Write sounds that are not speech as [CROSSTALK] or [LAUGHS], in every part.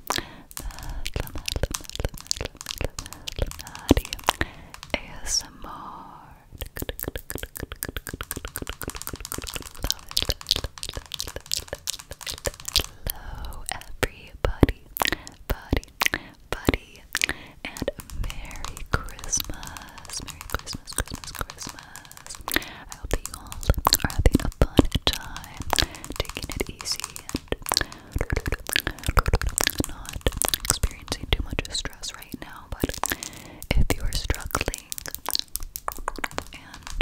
Hello everybody, buddy, buddy, and Merry Christmas, Merry Christmas, Christmas, Christmas. I hope that you all are having a fun time, taking it easy, not experiencing too much stress right now, but if you are struggling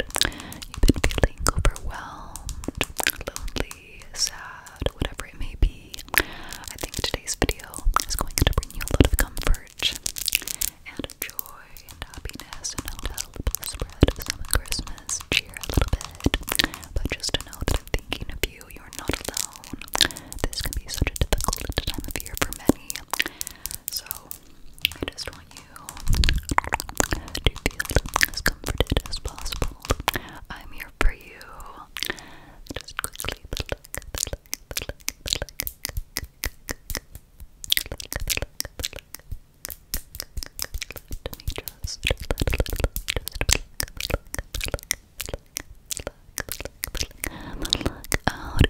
and you've been feeling overwhelmed, lonely, sad, whatever it may be, I think today's video is going to bring you a lot of comfort and joy and happiness and help help spread some Christmas cheer a little bit. But just to know thinking of you. You're not alone. This can be such a difficult time of year for many. So, I just want you to feel as comforted as possible. I'm here for you. Just quickly out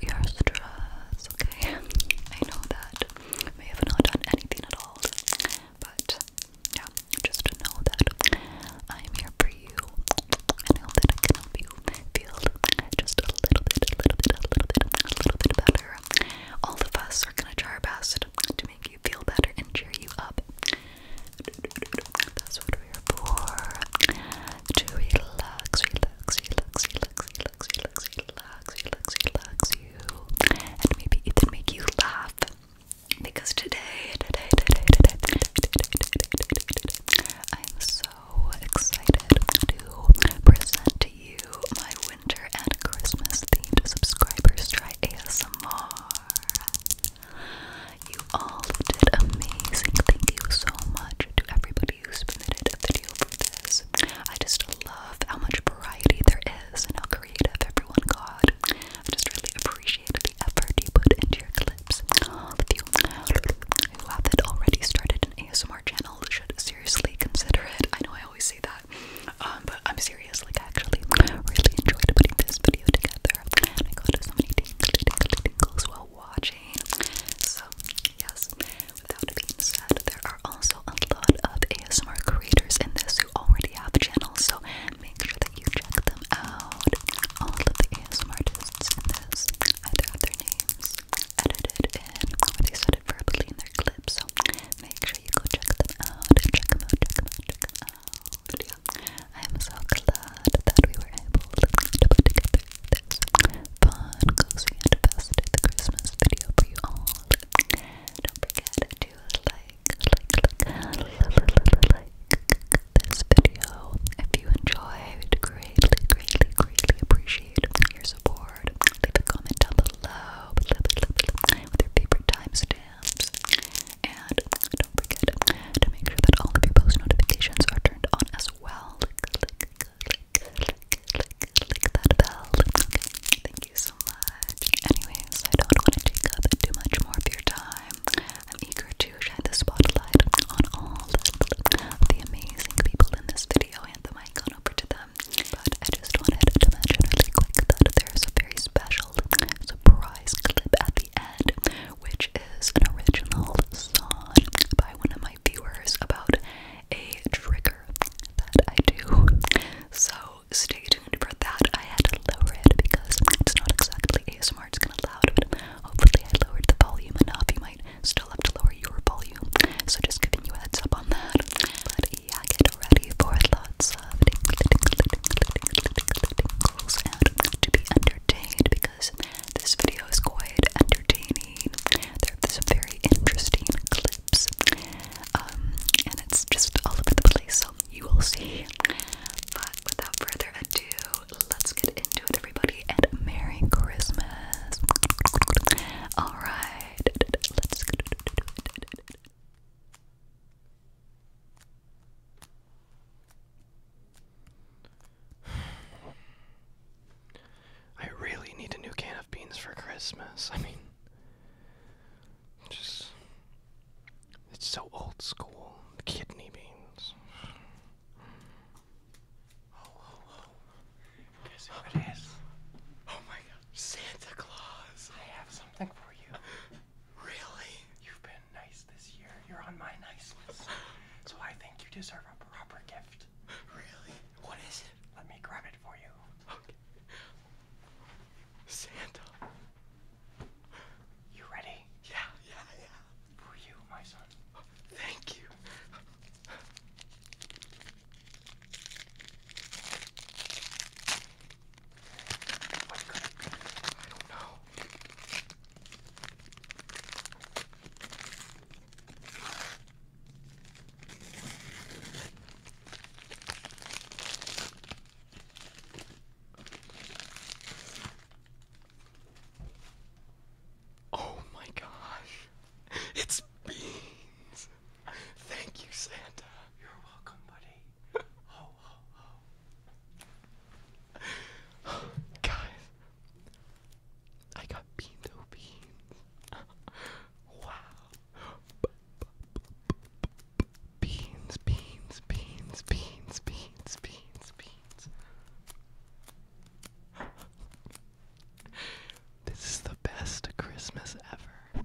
your stress, okay? I know that we have not done anything at all, but yeah, just know that I'm here for you and I hope that I can help you feel just a little bit, a little bit, a little bit, a little bit better. All of us are gonna try our best to to make you feel better and cheer you up. That's what we're for. To relax, relax, relax, relax, relax, relax, relax, relax, relax you. And maybe even make you laugh. Because today, today, today, today, today, today, today I am so excited to present to you my winter and Christmas themed subscribers try ASMR. You all did amazing. Thank you so much to everybody who submitted a video for this. I just love how much variety there is and how creative everyone got. I just really appreciate the effort you put into your clips. All of you who haven't already started an ASMR channel should seriously consider it. I know I always say that, um, but I'm serious serious, like actually really enjoyed putting this video together. And I got so many tingly, tingly, tingles while watching. So yes, without being said, there are also a lot of ASMR creators in this who already have channels, so make sure that you check them out. All of the ASMR artists in this either have their names edited and or they said it verbally in their clips, so make sure you go check them out. Check them out, check them out, check them out. I am so glad that we were able to put together this fun, cozy, and festive Christmas video for you all. Don't forget to like, like, like, like this video if you enjoyed. Greatly, greatly, greatly appreciate your support. Leave a comment down below with your favorite timestamp. And don't forget to make sure that all of your post notifications are turned on as well. Click, that bell. thank you so much. Anyways, I don't want to take up too much more of your time. I'm eager to shine the spotlight on all the amazing people in this video and the mic on over to them. But I just wanted to mention really quick that there's a very special surprise clip at the end, which is an original song by one of my viewers about a trigger that I do. So stay tuned for that. I had to lower it because it's not exactly ASMR, it's kind of loud, but hopefully I lowered the volume enough. You might still have to lower your volume. So just giving you a heads up on that. But yeah, get ready for lots of to be entertained because this video is quite entertaining. There are some very interesting clips, um, and it's just all over the place, so you will see. But without further ado, let's get into it, everybody, and Merry Christmas! Alright, let's get it. I really need a new can of beans for Christmas. I mean, just. It's so old school. Kidney beans. Oh, oh, oh. Guess who it is? Oh my god. Santa Claus! I have something for you. Really? You've been nice this year. You're on my nice list. [LAUGHS] So I think you deserve a proper gift. Really? What is it? Let me grab it for you. Okay. Santa. You ready? Yeah, yeah, yeah. For you, my son. Thank you. Oh my gosh. It's beans. Thank you, Santa. You're welcome, buddy. [LAUGHS] Oh, [SIGHS] Guys, I got beans [LAUGHS] oh beans. beans, beans, beans, beans, beans, beans. [LAUGHS] This is the best Christmas ever.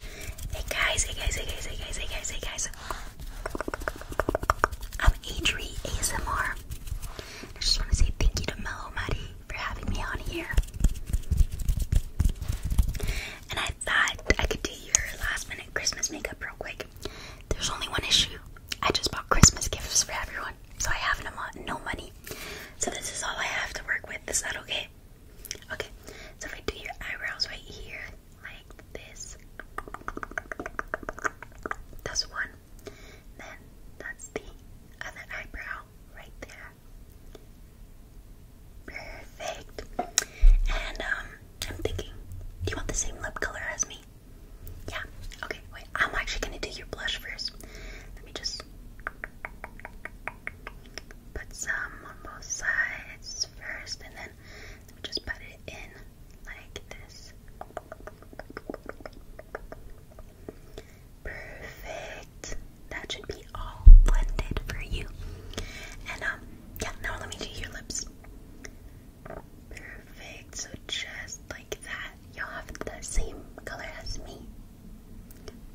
Hey guys, hey guys, hey guys, hey guys, hey guys, hey guys. I'm Adri ASMR. I just want to say thank you to Mellow Maddie for having me on here. And I thought I could do your last minute Christmas makeup real quick. There's only one issue. I just bought Christmas gifts for everyone, so I have no money. So this is all I have to work with. Is that okay? Okay. So if I do your eyebrows right here, like this. That's one. Then that's the other eyebrow right there. Perfect. And um, I'm thinking, do you want the same lip color as me? Yeah. Okay. Wait. I'm actually gonna do your blush first. Let me just put some on both sides first, and then let me just put it in like this. Perfect. That should be all blended for you. And um, yeah, now let me do your lips. Perfect. So just like that, you'll have the same color as me.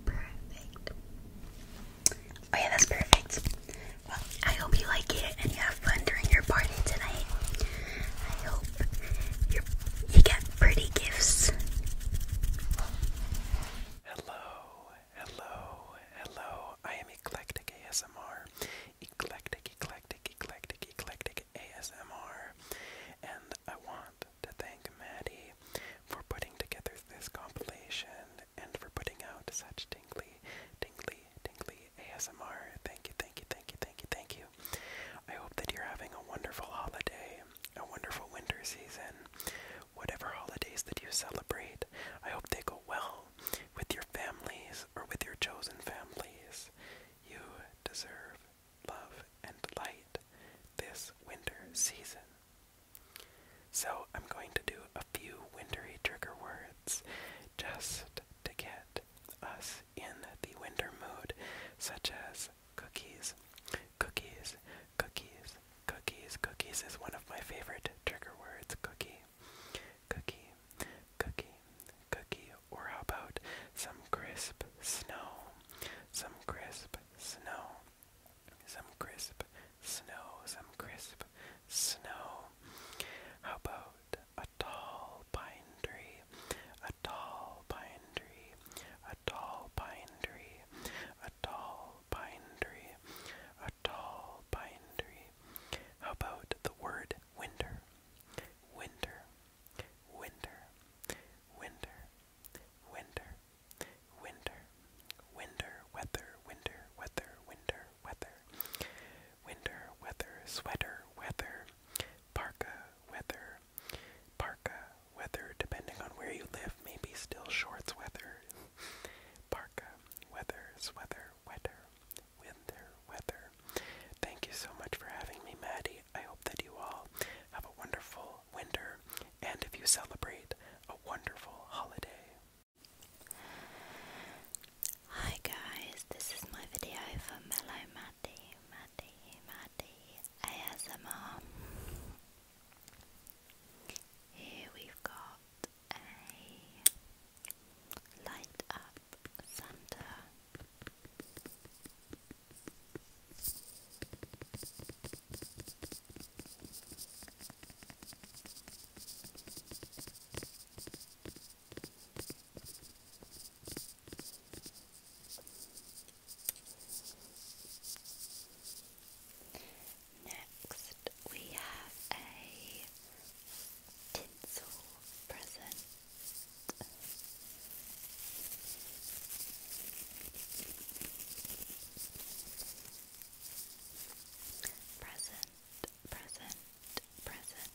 Perfect. Oh yeah, that's perfect. Well, I hope you like it and you have fun during your party tonight. I hope you you get pretty gifts. Hello, hello, hello. I am Eclectic ASMR. Eclectic, eclectic, eclectic, eclectic ASMR. And I want to thank Maddie for putting together this compilation and for putting out such tingly, tingly, tingly ASMR. Thank you, thank you, thank you, thank you, thank you. I hope that you're having a wonderful holiday, a wonderful winter season, whatever holidays that you celebrate. I hope they go well with your families or with your chosen families. You deserve love and light this winter season. So, I'm going to do a few wintery trigger words just to get us in the winter mood, such as cookies. Cookies, cookies, cookies, cookies is one of my favorite trigger words. Cookie, cookie, cookie, cookie. Or how about some crisp snow? Some crisp snow. Some crisp Snow, some crisp snow. How about a tall pine tree? A tall pine tree. A tall pine tree. A tall pine tree. A tall pine tree. How about the word winter? Winter. Winter. Winter. Winter. Winter. Winter. Weather. Winter. Weather. Winter weather. Winter, weather, sweater, weather, parka, weather, parka, weather, depending on where you live, maybe still shorts weather. [LAUGHS] parka, weather, sweater, weather, winter, weather. Thank you so much for having me, Maddie. I hope that you all have a wonderful winter and if you celebrate, a wonderful holiday. Hi guys, this is my video for Mellow Matty, Matty, Matty ASMR. Here we've got a light up Santa. Next, we have a tinsel present. Present, present, present.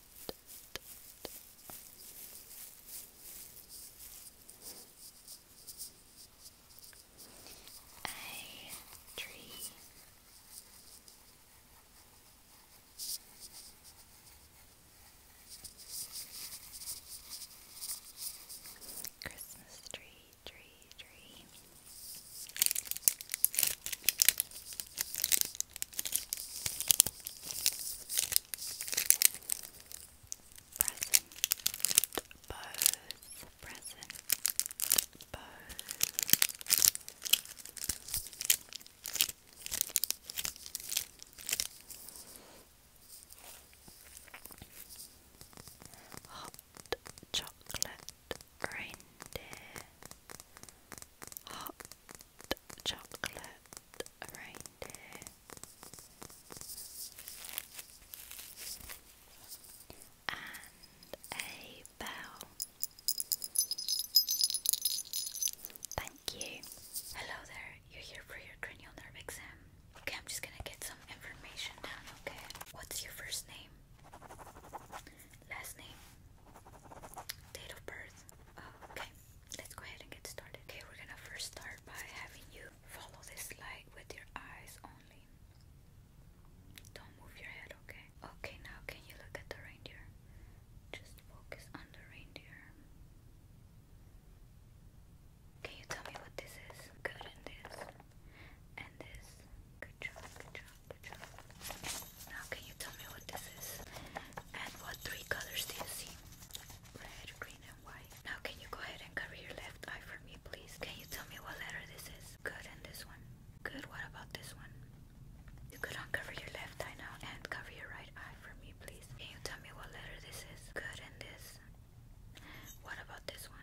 A tree. Christmas tree, tree, tree. Present bows, present bows. Hot chocolate reindeer hot chocolate reindeer and a bell. Thank you. Hello there, you're here for your cranial nerve exam. Okay, I'm just gonna get some information down, okay? What's your first name? Last name? Date of birth. Oh, okay, let's go ahead and get started. Okay, we're gonna first start by having you follow this light with your eyes only. Don't move your head, okay? Okay, now can you look at the reindeer? Just focus on the reindeer. Can you tell me what this is? Good in this and this. Good job, good job. Now, can you tell me what this is? And what three colors do you see? Red, green, and white. Now, can you go ahead and cover your left eye for me, please? Can you tell me what letter this is? Good, and this one. Good, what about this one? You could uncover your left eye now and cover your right eye for me, please. Can you tell me what letter this is? Good, and this. What about this one?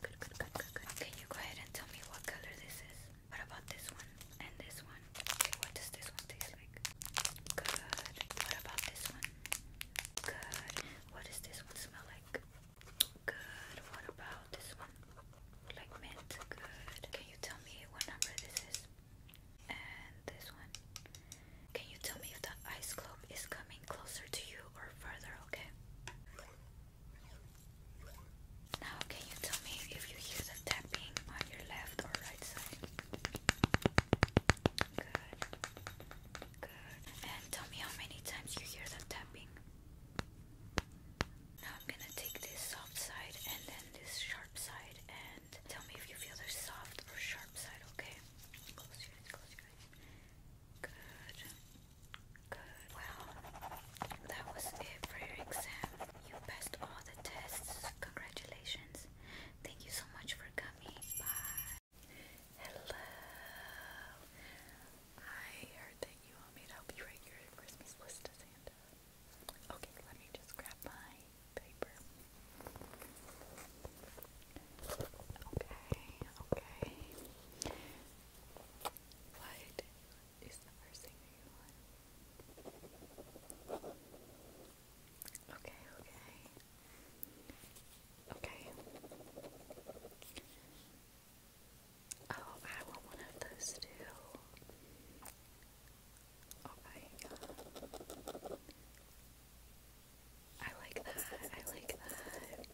good, good, good, good. Can you go ahead and tell me what color this is? What about this one and this one? Okay, what does this one taste like? Good. What about this one? Good. What does this one smell like? Good. What about this one? Like mint. Good. Can you tell me what number this is? And this one. Can you tell me if the ice globe is coming closer to you or further? Okay. Now, can you tell me if you hear the tapping on your left or right side? Good. Good. And tell me how many times you hear the tapping. Now I'm gonna take this soft side and then this sharp side and tell me if you feel the soft or sharp side, okay? Close your eyes, close your eyes. Good. Good. Well, that was it for your exam. You passed all the tests. Congratulations. Thank you so much for coming. Bye. Hello. I heard that you want me to help you write your Christmas list Santa. Okay, let me just grab my paper. Okay, okay. What is the first thing you want? Okay, okay. Okay. Oh, I want one of those too. Okay. Oh I like that. I like that.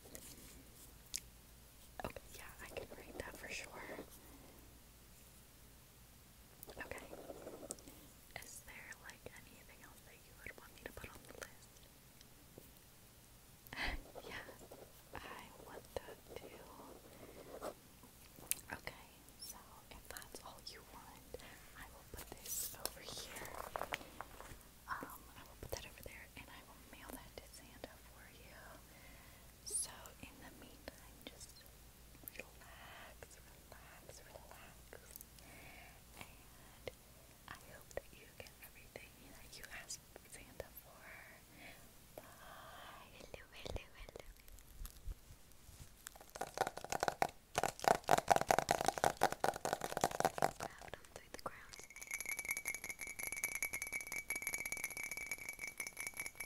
Okay, yeah, I can read that for sure. Okay. Is there like anything else that you would want me to put on the list? [LAUGHS] yeah, I want that Okay, so if that's all you want, I will put this over here. Um, I will put that over there and I will mail that to Santa for you. So, in the meantime, just relax, relax, relax. And I hope that you get everything that you asked Santa for. Bye. Hello, hello, hello.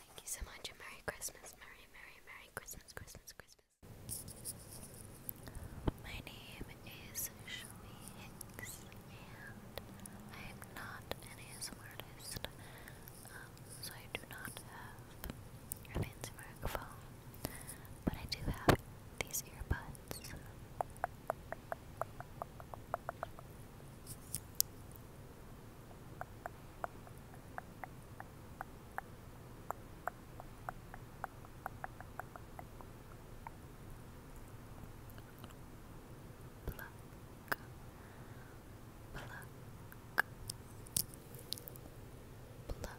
Thank you so much and Merry Christmas, Merry, Merry, Merry Christmas, Christmas, Christmas. My name is Shelby Hicks and I am not an ASMR um, so I do not have an ASMR phone but I do have these earbuds. Pluck, pluck, pluck,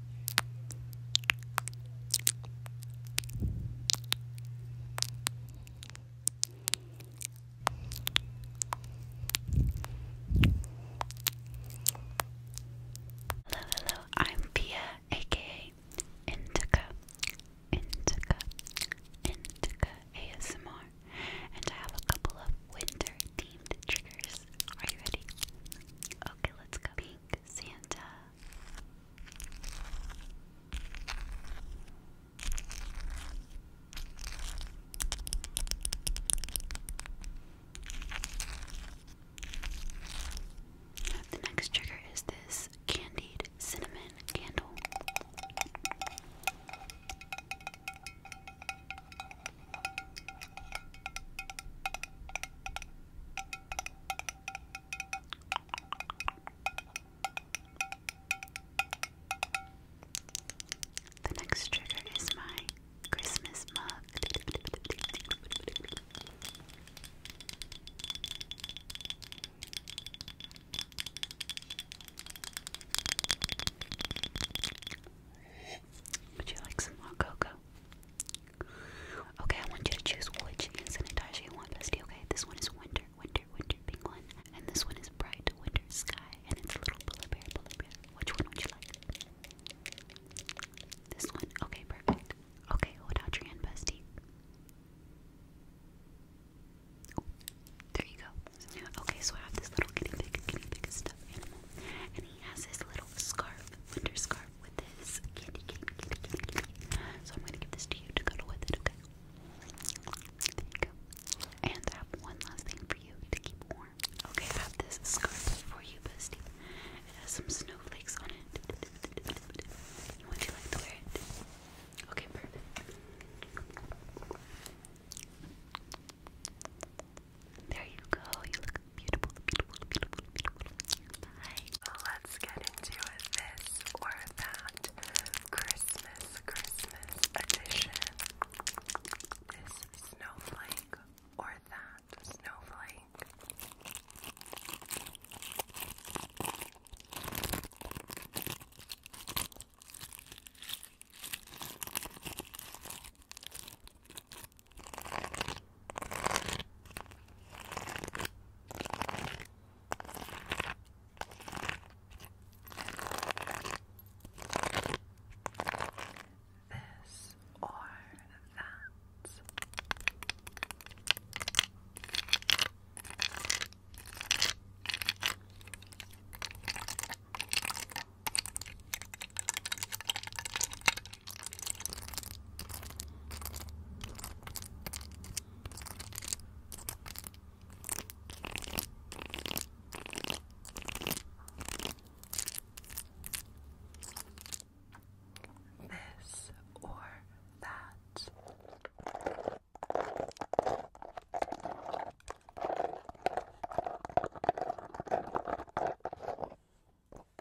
Hello, hello, I'm Pia, aka Indica, Indica, Indica ASMR, and I have a couple of winter themed triggers. Are you ready? Okay, let's go. Pink Santa, the next trigger is this candied cinnamon candle. The next trigger is my Christmas mug. Would you like some more cocoa? Okay, I want you to choose which hand sanitizer you want, bestie, okay? This one is winter, winter, winter, pink one. And this one is bright winter sky, and it's a little polar bear, polar bear. Which one would you like? This one? Okay, perfect. Okay, hold out your hand, bestie. there you go. Okay, so I have this little kitty pig, kitty pig stuffed animal, and he has this little scarf, winter scarf. So I'm gonna give this to you to cuddle with it, okay? And I have one last thing for you to keep warm. Okay, I have this scarf for you, bestie. It has some snowflakes on it. Would you like to wear it? Okay, perfect. There you go beautiful, beautiful, Let's get into this or that Christmas, Christmas edition. This snowflake or that snowflake. This or that. This or that or that.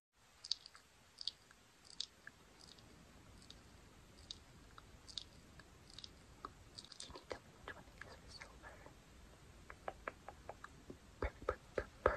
Can you tell me which one it is for silver? Purr, purr, purr, purr.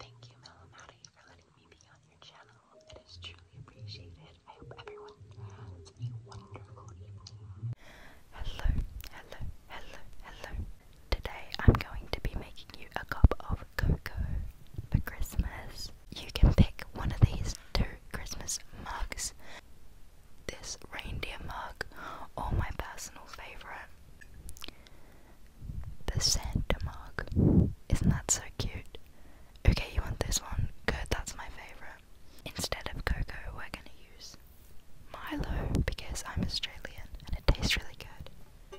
Thank you, Melamati, for letting me be on your channel. It is truly appreciated. I hope everyone has a wonderful evening. Hello, hello, hello, hello. Today I'm going to be making you a cup of cocoa for Christmas. You can pick one of these two Christmas mugs. This reindeer mug, or my personal favourite. The Santa mug, Isn't that so cute? Okay, you want this one? Good, that's my favourite. Instead of cocoa, we're gonna use Milo because I'm Australian and it tastes really good.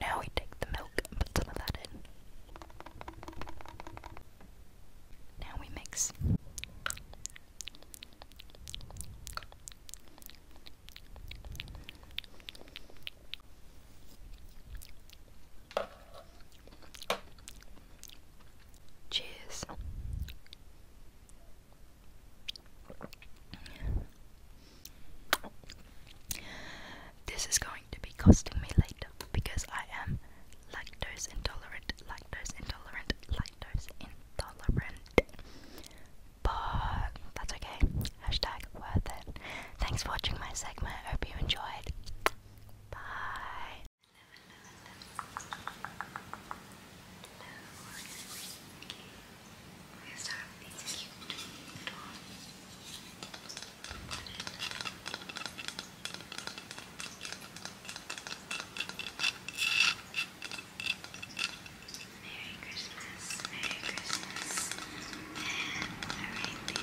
Now we take the milk and put some of that in. Now we mix. Cheers. This is going to be costing me later because I am lactose intolerant, lactose intolerant, lactose intolerant. But that's okay. Hashtag worth it. Thanks for watching my segment. Hope you enjoyed. Bye. Merry Christmas, Merry Christmas, and a reindeer. Merry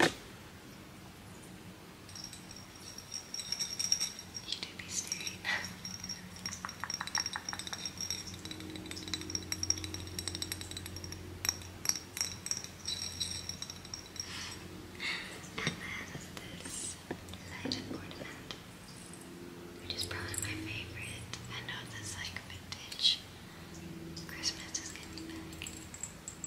You do be staring. and then this light ornament, which is probably my favorite. I know this like vintage Christmas is getting back.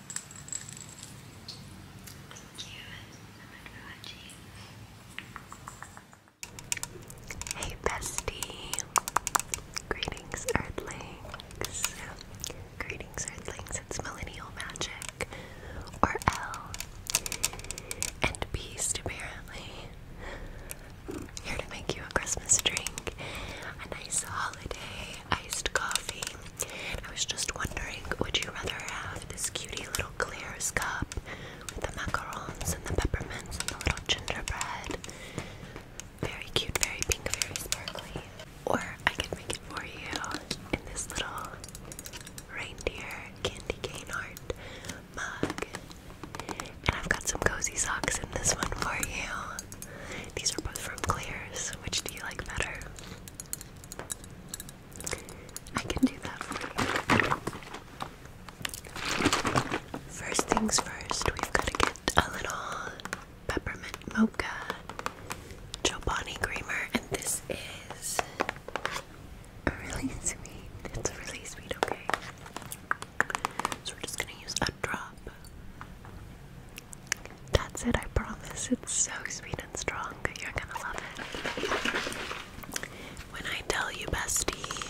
Thank you Hey bestie. Greetings, Earthlings. Greetings, Earthlings. It's Millennial Magic, or L, and Beast, apparently. Here to make you a Christmas drink, a nice holiday iced coffee, I was just wondering, would you rather have this cutie little Clear's cup with the macarons and the peppermints and the little gingerbread? Very cute, very pink, very sparkly. Or I could make it for you in this little reindeer candy cane art mug. And I've got some cozy socks in this one for you. These are both from Clear's. Which do you like better? I can do that for you. First things first, we've got to get a little peppermint mocha Chobani creamer, and this is really sweet. It's really sweet, okay? So we're just gonna use a drop. That's it, I promise. It's so sweet and strong. You're gonna love it. When I tell you, bestie,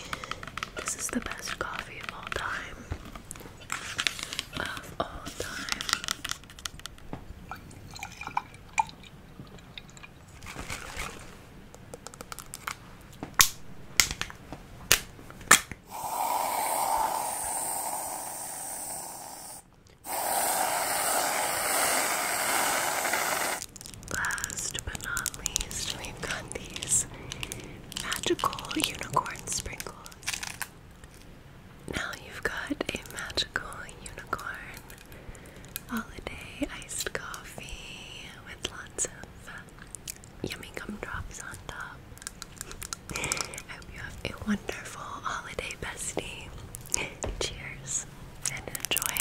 this is the best coffee of all time. Of all time. Last but not least, we've got these magical unicorn sprinkles. Now you've got a magical unicorn holiday iced coffee with lots of yummy gumdrops on top. [LAUGHS] I hope you a wonderful holiday bestie. Cheers and enjoy.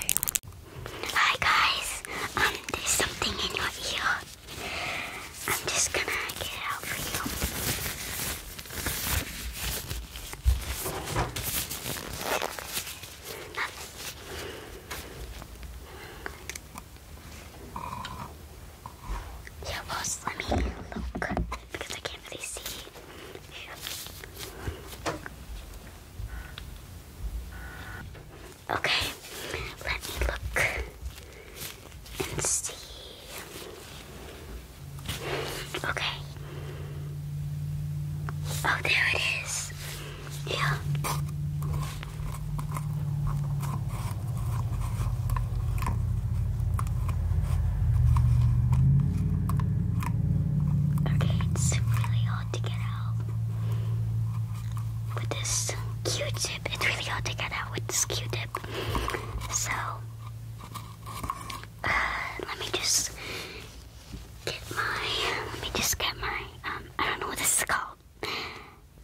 Hi guys, um, there's something in your ear. I'm just gonna get it out for you. Nothing. Yeah, boss, let me look because I can't really see. Okay, let me look and see. Okay. Oh, there it is. Yeah. Okay, it's really hard to get out. With this Q-tip, it's really hard to get out with this Q-tip. So, uh, let me just get my, let me just get my, um, I don't know what this is called.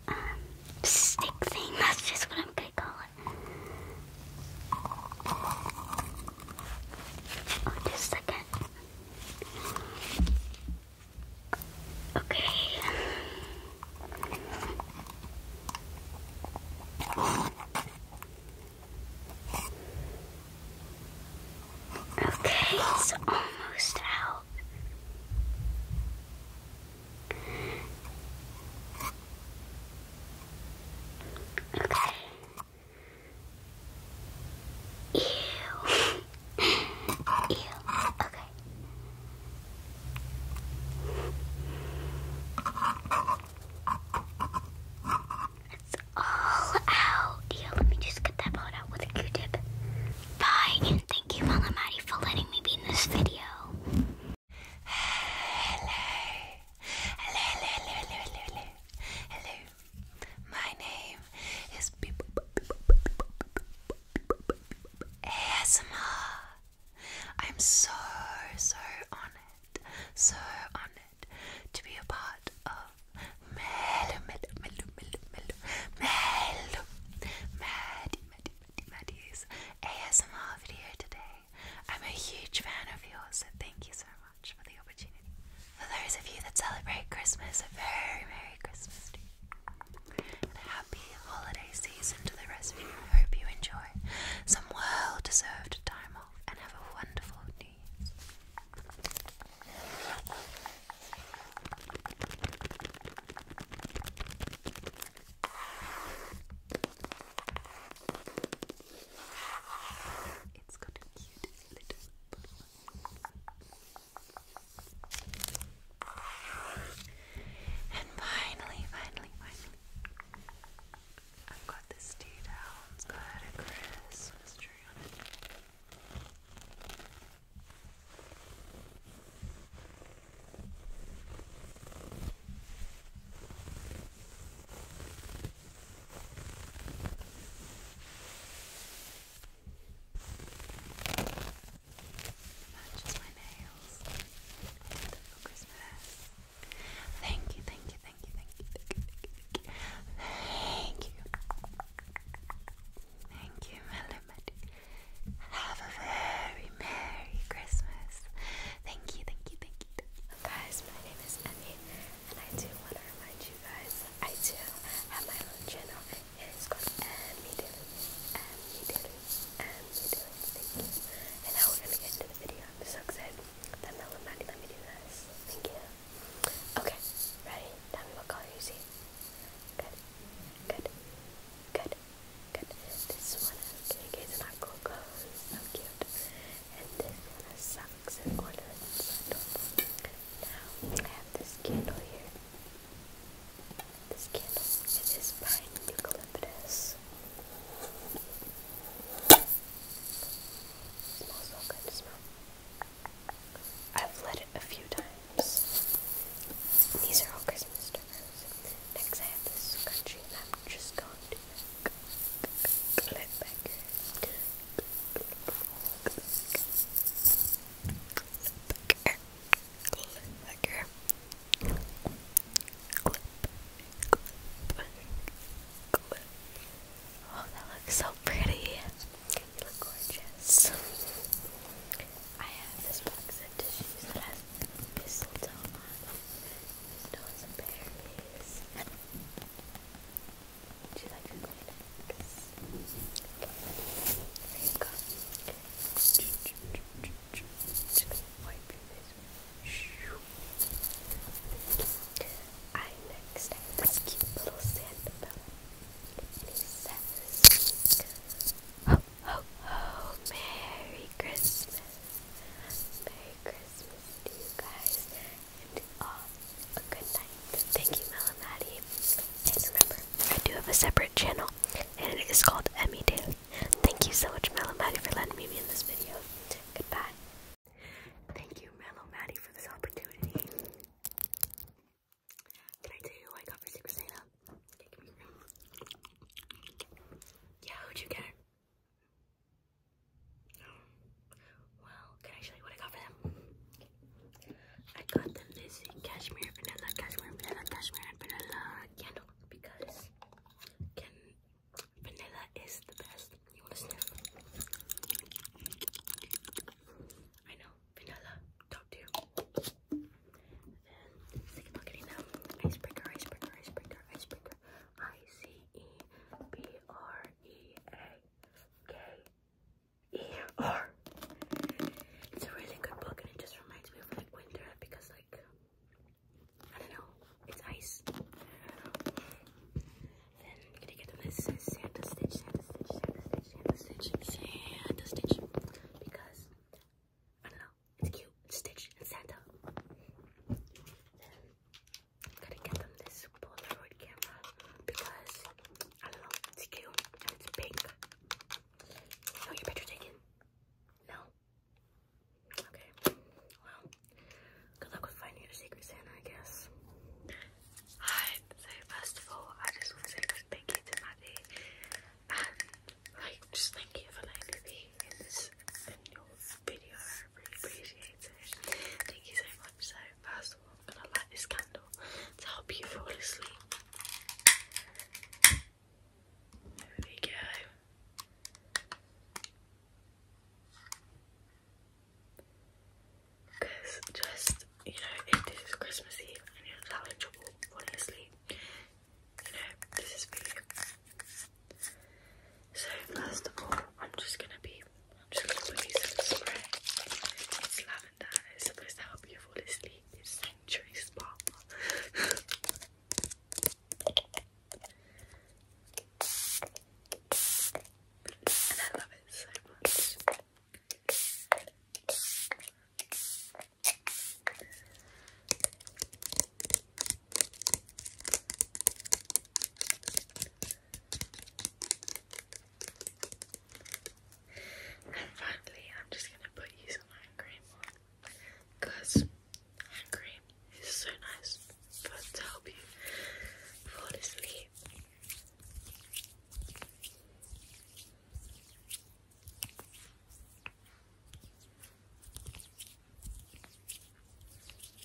Um, stick thing, [LAUGHS] that's just what I'm gonna call it just a second. Okay. Okay, it's almost out. Okay. Ew. Ew. Okay. It's all out. Yeah, let me just get that part out with a Q-tip. Bye, and thank you, Malamati, for letting me be in this video. [SIGHS] Hello. Hello, hello, hello, hello, hello, hello. Hello. My name is ASMR. I'm so, so honored, so honored to be a part of Melu, Melu, Melu, Melu, Melu, Melu, Maddie, Maddie, Maddie, Maddie's ASMR video today. I'm a huge fan of yours, so thank you so much for the opportunity. For those of you that celebrate Christmas, a very Merry Christmas And a happy holiday season to the rest of you. hope you enjoy some well deserved time off and have a wonderful New Year's. It's got a cute little And finally, finally, finally, I've got this tea down. It's got a Christmas tree on it. Matches my nails. I did them for Thank you, thank you, thank you, thank you, thank you, thank you, thank you. Thank you, Melody. Have a very Merry Christmas. thank you, thank you, thank you guys, my name is Emmy, and I do want to remind you guys I do have my own channel. It is called Emmy Daily, Emmy Daily, Emmy Daily. Thank you. And now we're gonna get into the video. so excited that Melon Maddie let me Thank you. Okay, ready? Tell me what color you see. Good, good, good, good. This one is, in case it's not cool, so cute. And this one is sun rugs and ornaments. Now I have this candle here. This candle it is pine eucalyptus. smells so good to smell. I've lit it a few times. These are all Christmas stickers. Next I have this scrunchie and just going to clip so pretty. You look gorgeous. I have this box of tissues that has mistletoe on it. Mistletoe and some I next this cute little Sandabella. And he says, Ho, Merry Christmas. Merry Christmas to you guys and uh, a good night. Thank you, Melamaddie. And remember, I do have a separate channel, and it is called Emmy Daily. Thank you so much, Melamaddie, for letting me be in this video. Goodbye. Thank you, Melamaddie, for this opportunity. Did I tell I got for Secret Santa? Yeah, would you get? Well, can I show you what I got for them? I got them this cashmere vanilla, cashmere vanilla, cashmere vanilla candle because vanilla is the best. You wanna sniff? I know, vanilla, top tier. Then second look at them. Icebreaker, icebreaker, icebreaker, icebreaker. I C E B R E A K-E-R. It's a really good book and it just reminds me of like winter because like, I don't know, it's ice. Then I'm gonna get them this Santa Stitch, Santa Stitch, Santa Stitch, Santa Stitch, Santa Stitch because, I don't know, it's cute, it's Stitch and Santa gotta get them this Polaroid camera because I don't know, it's cute and it's pink. Oh, your picture taken? No. Okay. Well, good luck with finding your secret Santa, I guess. Hi. So first of all, I just want to thank you to Maddie and like just thank you for letting me be in your video. I really appreciate it. Thank you so much. So first of all, I'm gonna light this candle to help you fall asleep. There we go. Because just, you know, if Christmas Eve and you having trouble falling asleep, you know, this is for So, first of all, I'm just gonna be I'm just gonna put in the spray. It's lavender it's supposed to help you fall asleep. It's Century Spa. and I love it so much. And finally, I'm just going to put you some hand cream on hand cream is so nice for to help you fall asleep.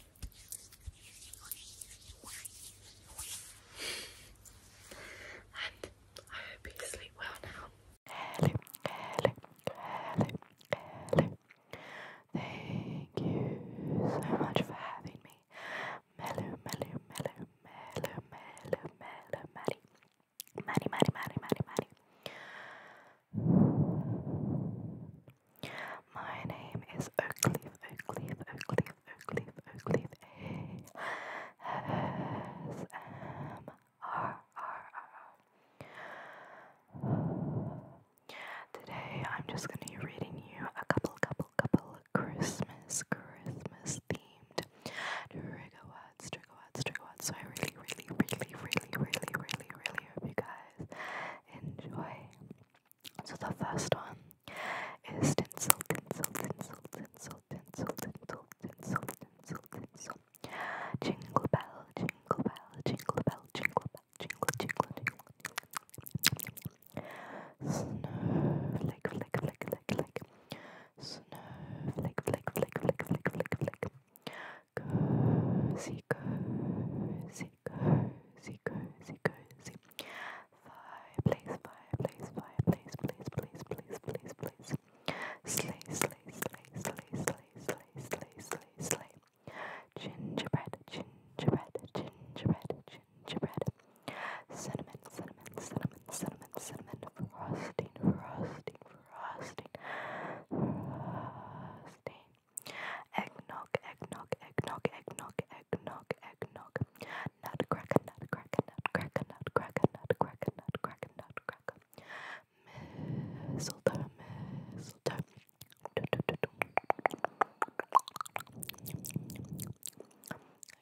And I hope you sleep well now. Hello, hello, hello, hello. Thank you so much for having me. Mellow, mellow, mellow, mellow, mellow, mellow, Maddie. Maddie, Maddie, Maddie, Maddie, my name is Oakleaf, Oakleaf, Oakleaf, Oakleaf, Oakleaf, A-S-M-R-R-R. Today I'm just going to be reading you a couple, couple, couple Christmas, Christmas themed trigger words, trigger words, trigger words. So I really, really, really, really, really, really, really hope you guys enjoy. So the first one is tinsel, tinsel, tinsel, tinsel, tinsel, tinsel, tinsel, tinsel, tinsel. Jingle bell, jingle bell, jingle bell, jingle bell, jingle, jingle, jingle. Snowflake, flake, flake, flake, flake. Snowflake, flake, flake, flake, flake, flake, flake. Cozy, cozy, cozy, cozy, cozy, cozy. Fireplace, fireplace, fireplace, please, please, please, please, please. Sleigh, sleigh, sleigh, sleigh, sleigh, sleigh, sleigh, sleigh, sleigh. Gingerbread, gingerbread, gingerbread, gingerbread. Cinnamon, cinnamon, cinnamon, cinnamon, cinnamon. Frosting, frosting, frosting, frosting eggnog, eggnog, eggnog, eggnog, eggnog, eggnog, nut cracker, nut cracker, nut cracker, nut cracker, nut cracker, nut cracker, nut cracker, mistletoe,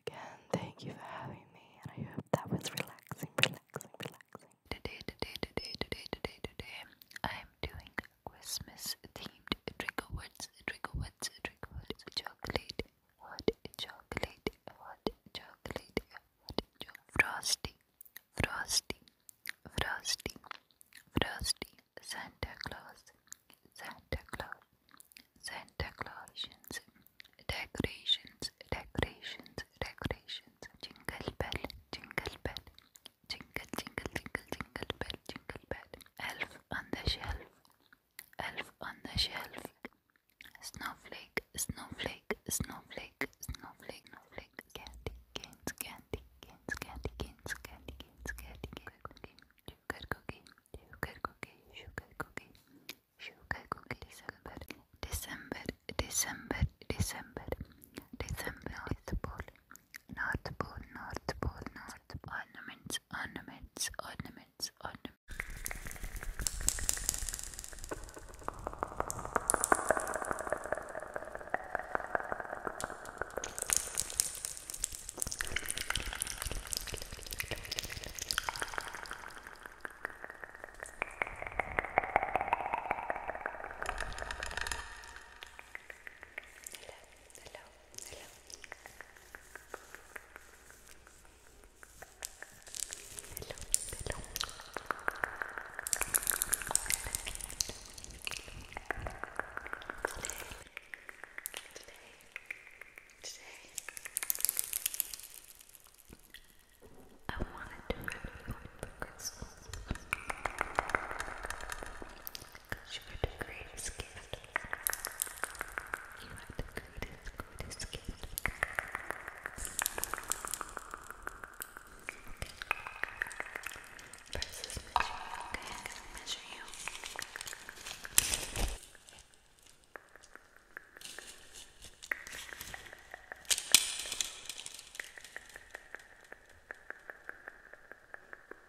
Again, thank you for having me, and I hope that was relaxing, relaxing, relaxing. Today, today, today, today, today, today, I'm doing Christmas themed trigger words, trigger words, trigger words, chocolate, hot chocolate, hot chocolate, hot chocolate, frosty, frosty, frosty, frosty, Santa Claus, Santa Claus, Santa Claus, decorations, decorations, decorations, jingle bell, jingle bell, jingle, jingle, jingle, jingle bell, jingle bell. Elf on the shelf, elf on the shelf. Snowflake, snowflake, snowflake, snowflake, snowflake. Candy, canes, candy, canes, candy, canes, candy, canes, candy, sugar cookie, sugar cookie, sugar cookie, sugar cookie, sugar cookie. December, December, December, December, December. North Pole, North Pole, North Pole, North Pole. Ornament, ornaments, ornaments, ornaments, hello. Hello. Hello. Hello. Today. Today. I wanted to review Christmas. Because you were the greatest gift you are the greatest, greatest gift. Okay. First is measuring. Okay, I'm gonna measure you. Okay.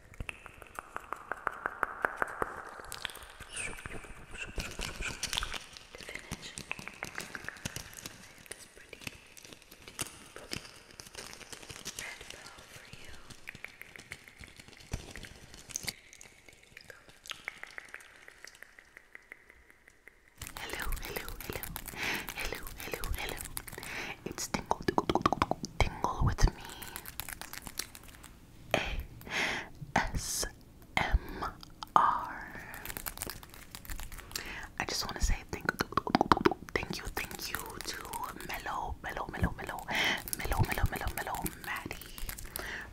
Hello, hello, hello, hello, hello, hello. It's Tingle, Tingle, Tingle with me. ASMR. just want to say thank thank you, thank you to Mellow, Mellow, Mellow, Mellow, Mellow, Mellow, Mellow, Mellow, Maddie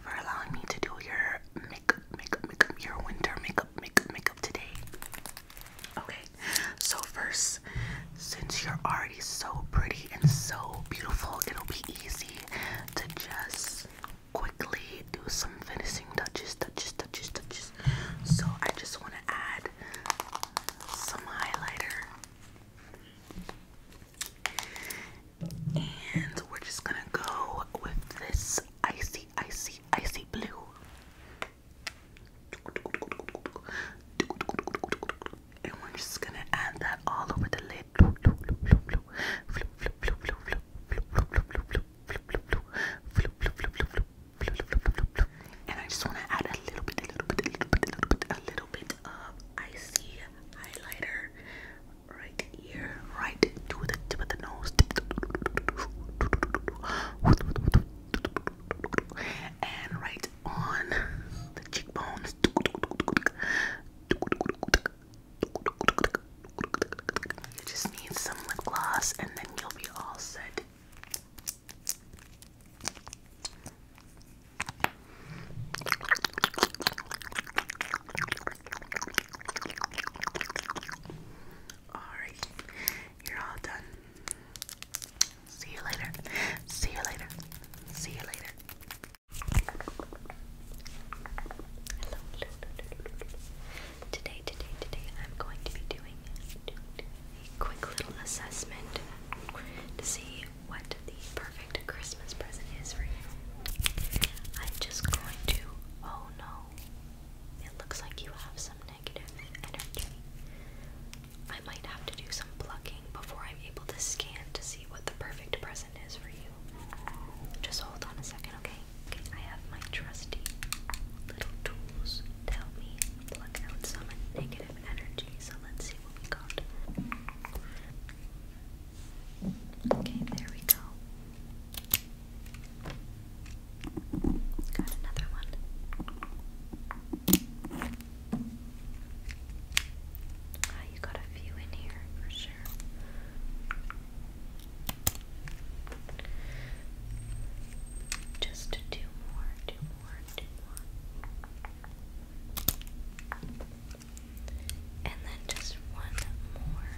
for allowing me to do your makeup, makeup, makeup, your winter makeup, makeup, makeup today. Okay, so first, since you're already so pretty, and so beautiful. It'll be easy to just quickly do some finishing touches, touches, touches, touches. So I just want to add some highlighter. And we're just gonna go with this icy, icy, icy blue. And we're just gonna add that all over the lid. And I just want to add a little bit, a little bit, a little bit, a little bit, a little bit of icy highlighter right here, right to the tip of the nose. And right on the cheekbones. You just need some lip gloss and then you'll be all set. Alright, you're all done. See you later. See you later. See you later. Today, today, today, I'm going to be doing a quick little assessment to see what the perfect Christmas present is for you. I'm just going to. Oh no. It looks like you have some negative energy. I might have to do some plucking before I'm able to scan to see what the perfect present just hold on a second, Okay, I have my trusty little tools to help me pluck out some negative energy. So let's see what we got. Okay, there we go. Got another one. Ah, you got a few in here for sure. Just two more, two more, two more. And then just one more.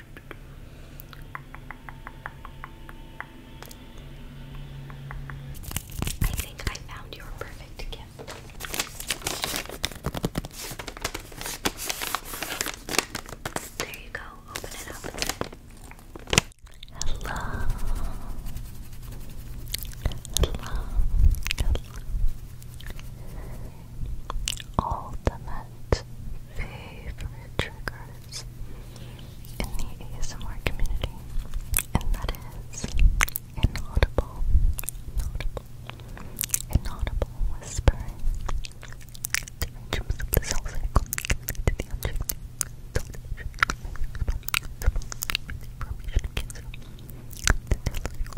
I think I found your perfect gift. There you go, open it up. Hello. Hello. Hello ultimate favorite triggers in the ASMR community, and that is inaudible, inaudible, inaudible whispering.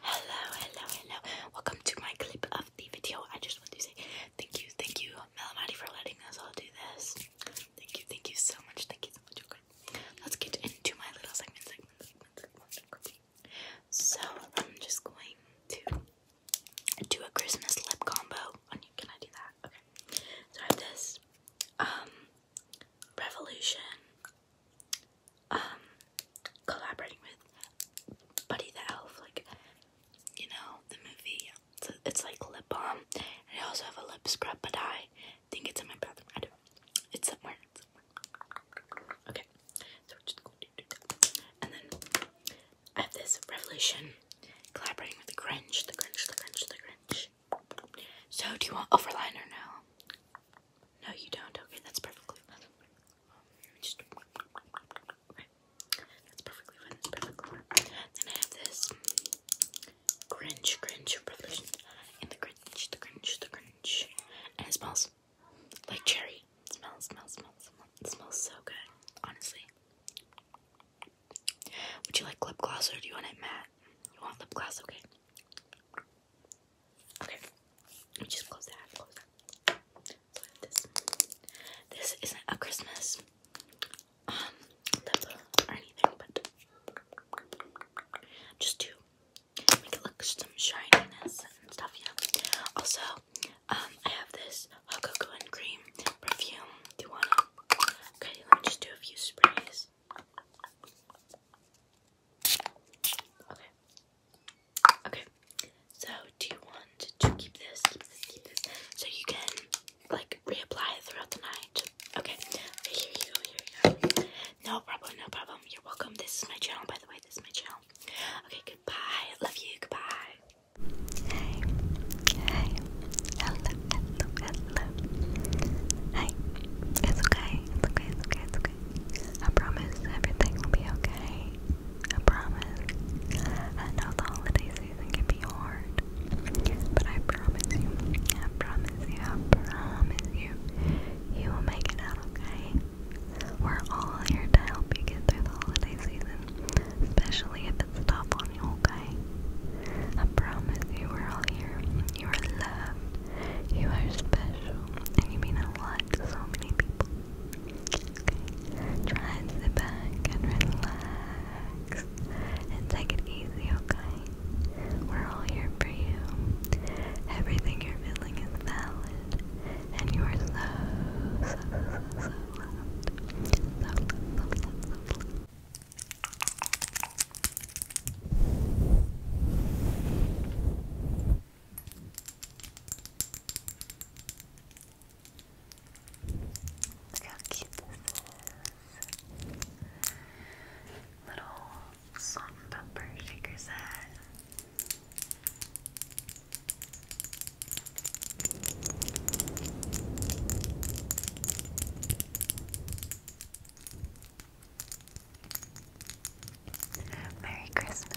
Hello, hello, hello. Welcome to my clip of the video. I just want to say thank you, thank you, Melamati, for letting us all do this. Thank you, thank you so much. Thank you so much. Okay. Let's get into my little segment, So I'm just going to do a Christmas lip combo. Oh, can I do that? Okay. So I have this. Um Revolution, um, collaborating with Buddy the Elf, like, you know, the movie. It's, it's like lip balm, I also have a lip scrub, but I think it's in my bathroom. I do It's somewhere. It's somewhere. Okay, so we're just going to do that. And then I have this Revolution collaborating with the Grinch, the Grinch, the Grinch, the Grinch. So, do you want overliner now? No, you don't. Okay, that's perfectly fine. Just okay. That's perfectly Then I have this Grinch, Grinch Brothers, and the Grinch, the Grinch, the Grinch, and it smells like cherry. It smells, smells, smells, smells so good, honestly. Would you like lip gloss or do you want it matte? You want lip gloss? Okay. Okay. Let just close that. Close that. this. This isn't a Christmas um or anything, but just to make it look some shininess and stuff, Also, um, I have this Cocoa and Cream perfume. Do you wanna? Okay, let me just do a few sprays. Okay. Okay. So do you want to keep this, so you can like reapply it throughout the night? Okay. Okay. Here you go. Here you go. No problem. No problem. You're welcome. This is my channel, by the way. This is my channel. Okay. Goodbye. Love you. Goodbye. Hey. Hey. Hello hello, It's okay. It's okay. It's okay. It's okay. I promise everything will be okay. I promise. I know the holiday season can be hard, but I promise you. I promise you. I promise you. You will make it out okay. We're all here to help you get through the holiday season, especially if it's tough on you, I promise you are all here. You are loved. You are special. And you mean a lot to so many people. Okay? Try and sit back and relax. And take it easy, okay? We're all here for you. Everything you're feeling is valid. And you are so, so, so, so loved. Look how cute this is. Little salt and pepper shaker set. Merry Christmas.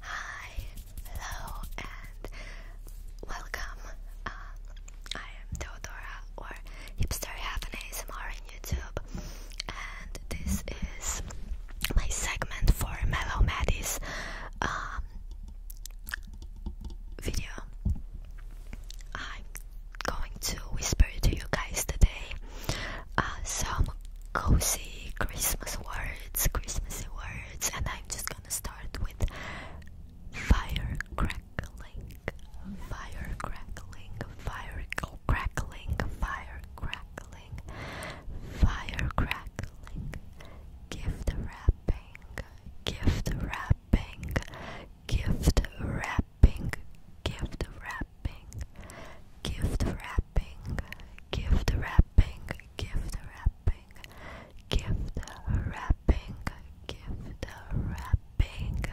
Hi, hello, and welcome. Uh, I am Theodora or Hipster Heaven ASMR on YouTube, and this is my segment for Mellow Maddie's um, video. I'm going to whisper to you guys today uh, some cozy Christmas words, Christmassy words words, and I'm just gonna start with fire crackling, fire crackling, fire crackling, fire crackling, fire crackling, gift wrapping, gift wrapping, gift wrapping, gift wrapping, gift wrapping, gift wrapping, gift wrapping wrapping, gift wrapping, gift wrapping.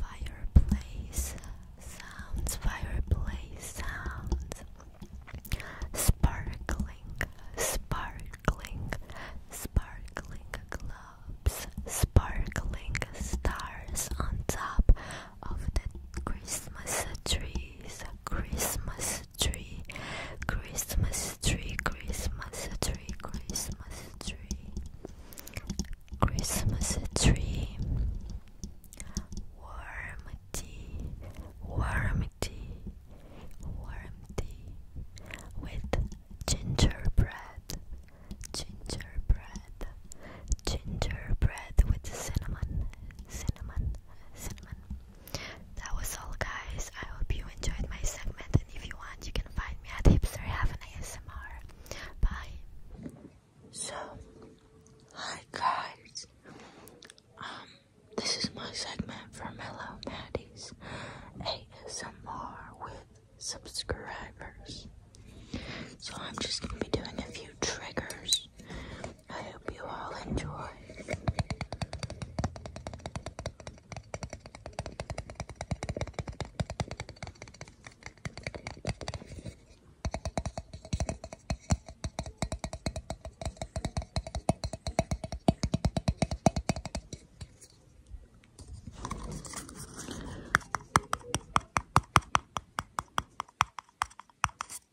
Fireplace sounds, fireplace sounds. Sparkling, sparkling, sparkling globes, sparkling stars on top of the Christmas trees, Christmas tree, Christmas tree, Christmas tree, Christmas tree, Christmas tree. Warm tea, warm tea, warm tea with gingerbread, gingerbread, gingerbread with cinnamon, cinnamon, cinnamon. That was all, guys. I hope you enjoyed my segment, and if you want, you can find me at Hipster an ASMR. Bye. So, hi guys. Um, this is my segment for Mellow Maddie's ASMR with subscribers. So I'm just gonna be doing a few triggers I hope you all enjoy.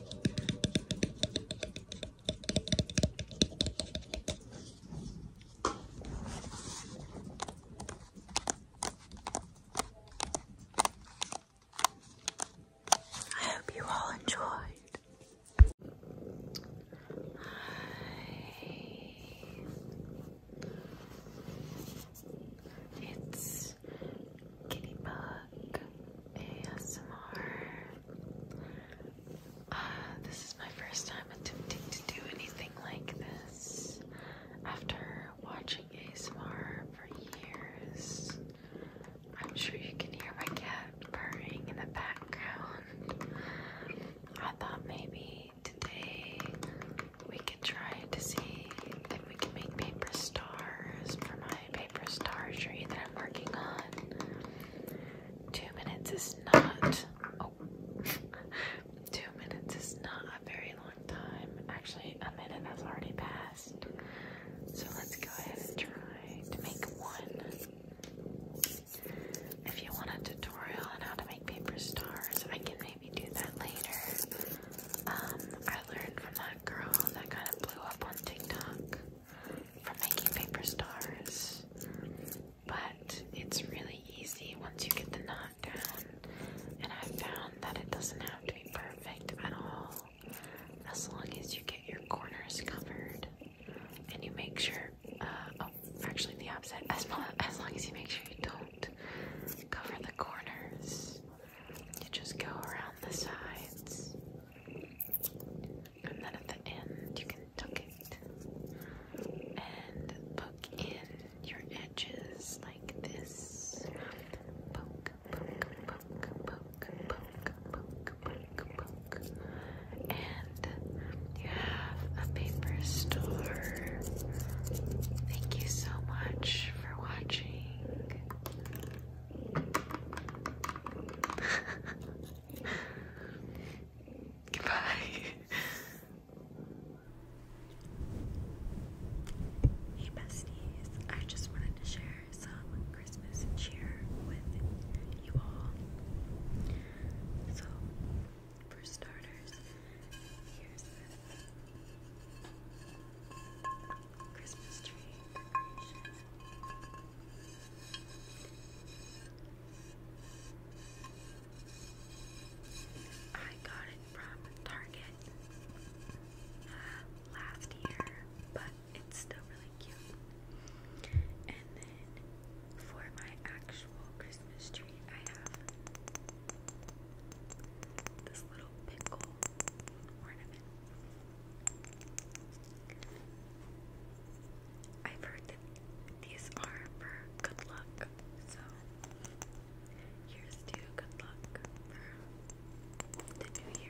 I hope you all enjoyed. It's Kitty Bug ASMR. Uh, this is my first time attempting to do anything like this after watching ASMR for years. I'm sure you can hear my cat purring in the background. I thought maybe today we could try to see if we can make paper stars for my paper stargery that I'm working on. Two minutes is not. Oh, [LAUGHS] two minutes is not a very long time. Actually, a minute has already passed. So let's go ahead and try to make one. If you want a tutorial on how to make paper stars, I can maybe do that later. Um, I learned from that girl that kind of blew up on TikTok for making paper stars. But it's really easy once you get the knot down, and I found that it doesn't have to be perfect at all as long as you get your corners covered and you make sure. Uh, oh, actually, the opposite. as long as you make sure you don't cover the corners, you just go around the sides, and then at the end, you can tuck it and poke in your edges like this. Poke, poke, poke, poke, poke, poke, poke, poke. And you have a paper store. Thank you so much for watching. [LAUGHS] Goodbye. Hey besties, I just wanted to share some Christmas cheer with you all. So, for starters, here's this. Christmas tree I got it from Target uh, last year, but it's still really cute. And then for my actual Christmas tree, I have this little pickle ornament. I've heard that these are for good luck, so here's to good luck for the new year.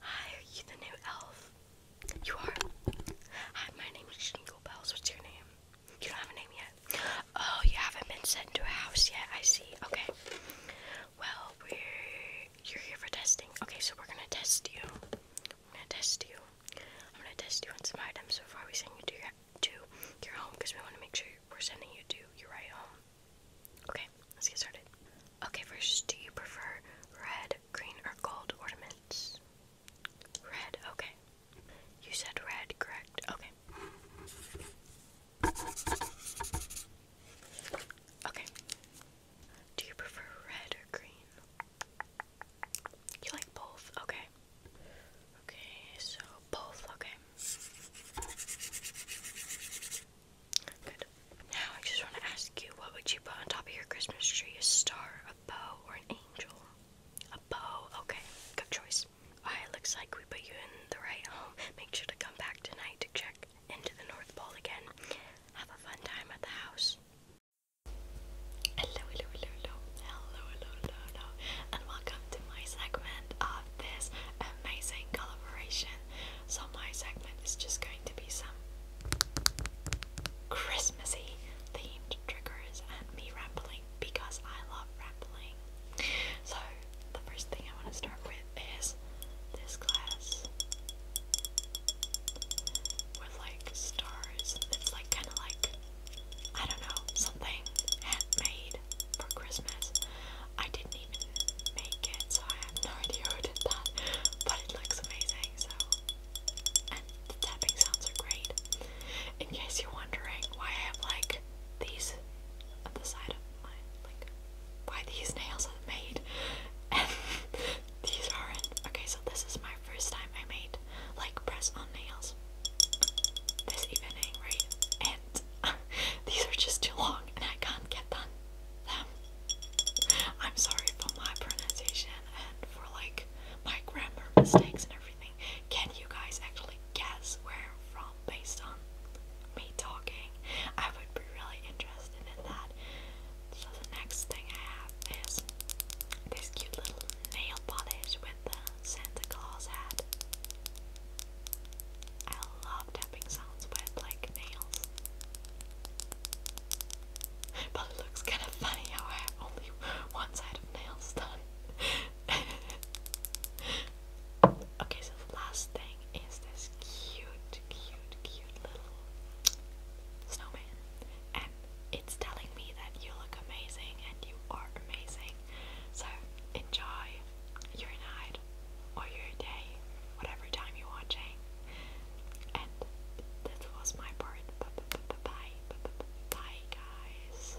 Hi, are you the new elf? You are? Hi, my name is Jingle Bells. What's your name? You don't have a name yet. Oh, you haven't been sent to a house yet. I see. Okay. Well, we're you're here for testing. Okay, so we're gonna test you. I'm gonna test you. I'm gonna test you on some items So far, we are sending you to to your home because we want to make sure we're sending you to your right home. Okay, let's get started. Okay, first, do you prefer red, red, green, or gold ornaments? Red, okay. You said red, correct? Okay. Okay. Do you prefer red or green? You like both? Okay. Okay, so both, okay. Good. Now, I just want to ask you, what would you put on top of your Christmas tree? A star, a bow, or an angel? A bow. Okay, good choice. Alright, looks like we put you in the right home. Make sure to come back tonight to check into the North Pole again. Have a fun time at the house. hello, hello, hello, hello, hello, hello, hello, and welcome to my segment of this amazing collaboration. So my segment is just going to be some Christmassy themed triggers and me rambling because I love rambling. So, the first thing I want to start with is this glass with like stars. It's like kind of like, I don't know, something handmade for Christmas. I didn't even make it, so I have no [LAUGHS] idea who did that, but it looks amazing, so and the tapping sounds are great. In case you're wondering why I have like these at the side of my like why these nails are made and [LAUGHS] these aren't. Okay, so this is my first time I made like press on nails this evening, right? And [LAUGHS] these are just too long and I can't get them I'm sorry for my pronunciation and for like my grammar mistakes and everything. Can you guys actually guess where I'm from based on me talking? I would be really interested in that. So the next thing I have is this cute little nail polish with the Santa Claus hat. I love tapping sounds with like nails. But it looks kind of funny how I have only one side of nails done. [LAUGHS] okay, so the last thing is this cute, cute, cute little snowman. And it's telling me that you look amazing and you are amazing. So enjoy your night or your day, whatever time you're watching. And that was my part. B -b -b bye, bye, guys.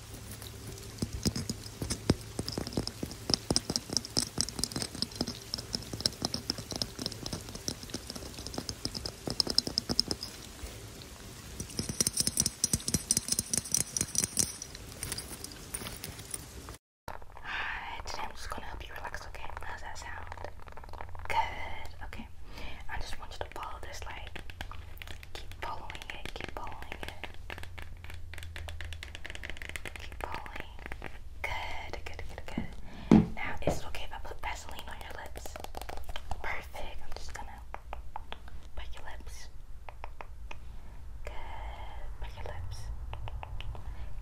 Hi, today I'm just gonna help you relax, okay? How's that sound? Good, okay. I just want you to follow this, like, keep following it, keep following it. Keep pulling. Good, good, good, good. Now, is it okay if I put Vaseline on your lips? Perfect. I'm just gonna put your lips. Good. Put your lips.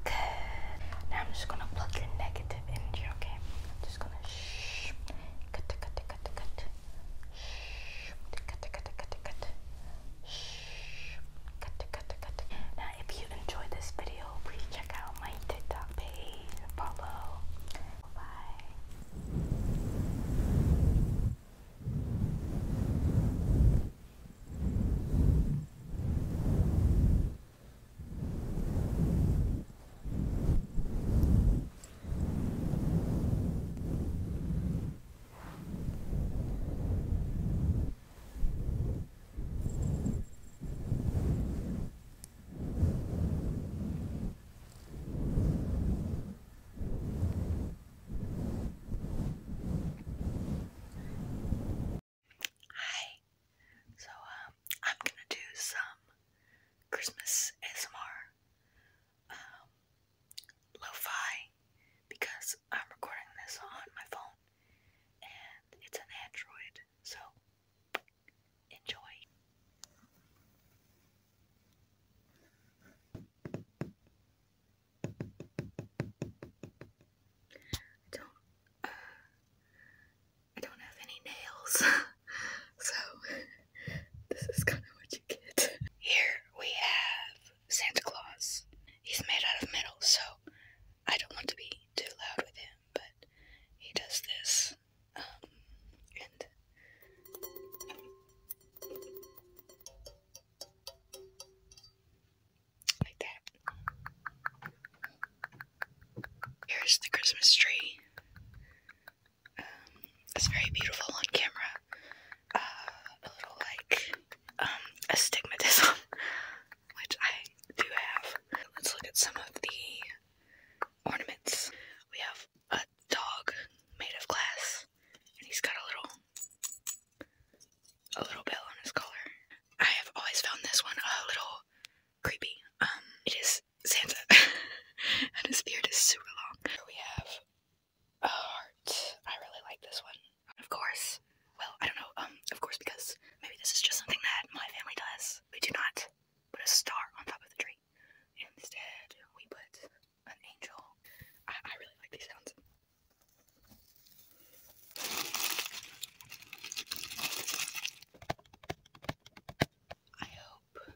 Good. Now I'm just gonna plug your negative energy, okay? I'm just gonna shh. Cut, cut, cut, cut. Shh. Cut, cut, cut, cut. Shh. Now, if you enjoyed this video, please check out my TikTok page. Follow. Bye. Hi. So um, I'm gonna do some Christmas ASMR. Um, lo-fi because I'm recording this on my phone and it's an Android, so enjoy. I don't uh, I don't have any nails. [LAUGHS] so [LAUGHS] this is kind of what you get. Here we have Santa Claus. He's made out of metal, so I don't want to be too loud with him, but he does this. Um, and like that. Here's the Christmas tree. Um, it's very beautiful on camera, a little like um, astigmatism, [LAUGHS] which I do have. Let's look at some of the ornaments. We have a dog made of glass, and he's got a little a little bell on his collar. I have always found this one a little creepy. Um, it is Santa, [LAUGHS] and his beard is super long. we have heart. I really like this one. Of course. Well, I don't know. Um, of course, because maybe this is just something that my family does. We do not put a star on top of the tree. Instead, we put an angel. I, I really like these sounds. I hope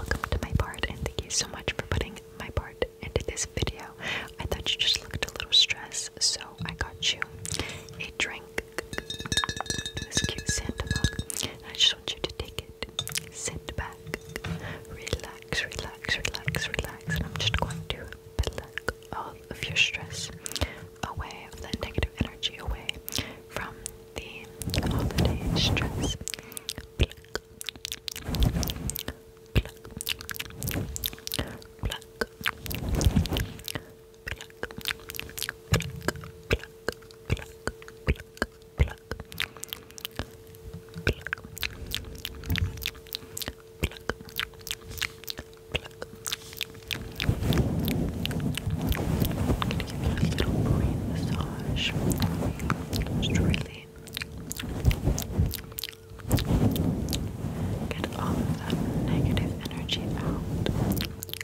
Welcome to my part, and thank you so much for putting my part into this video. I thought you just looked a little stressed, so I got you a drink this cute Santa mug. I just want you to take it, sit back, relax, relax, relax, relax. And I'm just going to pluck all of your stress away, all that negative energy away from the holiday stress. Pluck, pluck, pluck little brain massage. Just really get all of that negative energy out.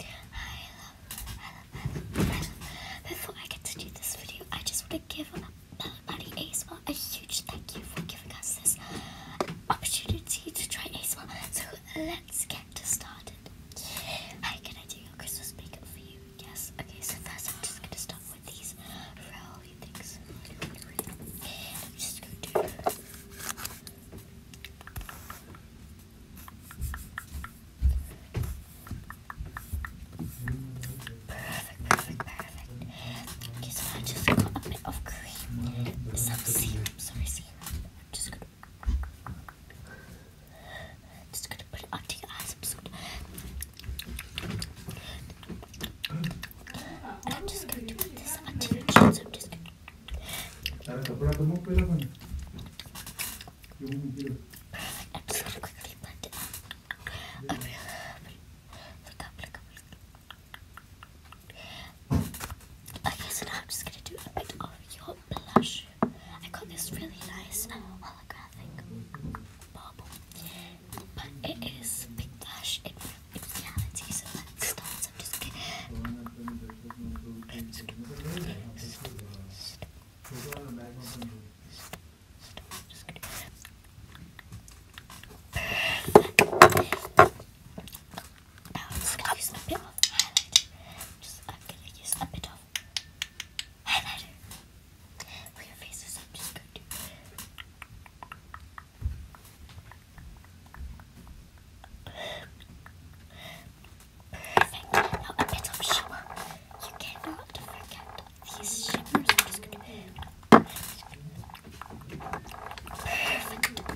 I Before I get to do this video, I just want to give Bella Buddy a huge thank you for giving us this opportunity to try ASMR. So let's get started. Hi, can I do your Christmas makeup for you? Yes. Okay, so first I'm just going to start with these rolly things. I'm just going to. Perfect, perfect, perfect. I just got a bit of cream. Some serum, sorry, I'm just gonna put it onto your eyes. I'm just gonna and this onto your chin, I'm just gonna Okay, so now I'm just gonna do a bit of your blush. I got this really nice uh, holographic bubble, but it is big blush in, in reality, so let's start. I'm just going now I'm just gonna use a bit of highlighter. Just I'm gonna use a bit of highlighter. For your faces, I'm just going to Perfect. Now a bit shimmer. You cannot forget these shimmers. I'm just gonna... Perfect.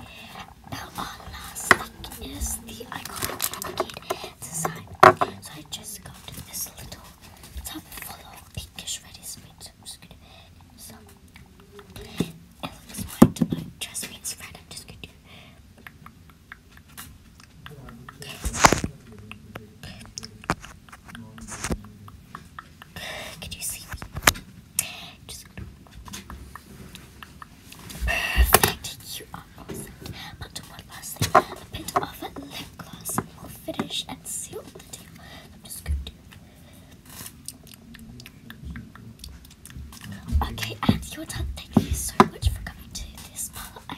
Now our last thing is the iconic indicator design. So I just got this little tub full pinkish ready sweets. I'm just gonna so it looks white, but trust me, red. I'm just gonna can you see me? perfect. You are awesome. one last thing. A bit of lip gloss will finish and seal the deal. I'm just going to. Okay, and you done. Thank you so much for coming to this parlor.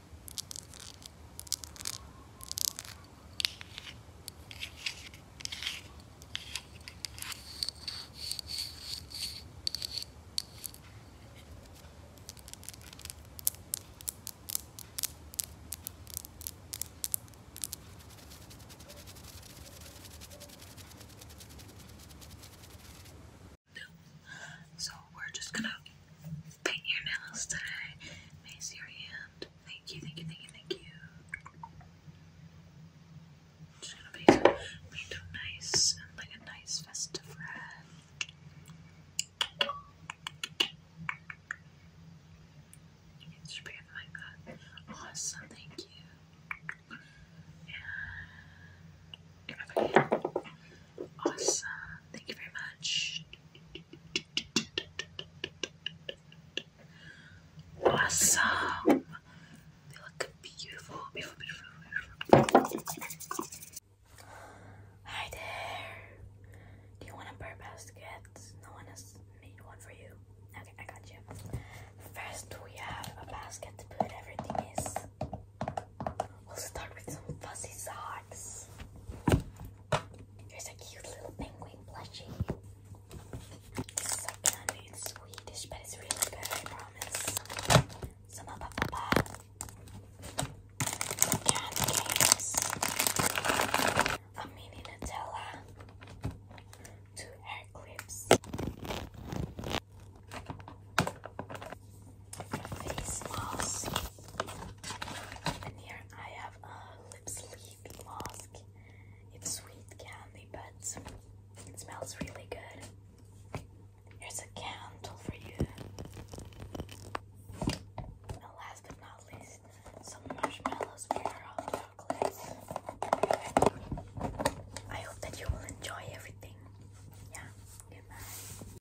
So we're just gonna paint your nails today. Mace your hand. Thank you, thank you, thank you, thank you. It's gonna be made up nice and like a nice festive red. It should be like that. Awesome, thank you. And Awesome. Thank you very much. Awesome. They look beautiful, Hi there. Do you want a bird basket? No one has made one for you. Okay, I got you. First, we have a basket to put everything is. We'll start with some fuzzy socks. Here's a cute little penguin plushie. This is candy in Swedish, but it's really good, I promise. Some of papa. Some candy canes. A mini Nutella. Two hair clips. face mask. And here I have a lip sleeve mask. It's sweet candy, but it smells really good. Here's a candle for you. And last but not least, some marshmallows for your hot I hope that you will enjoy everything. Yeah, good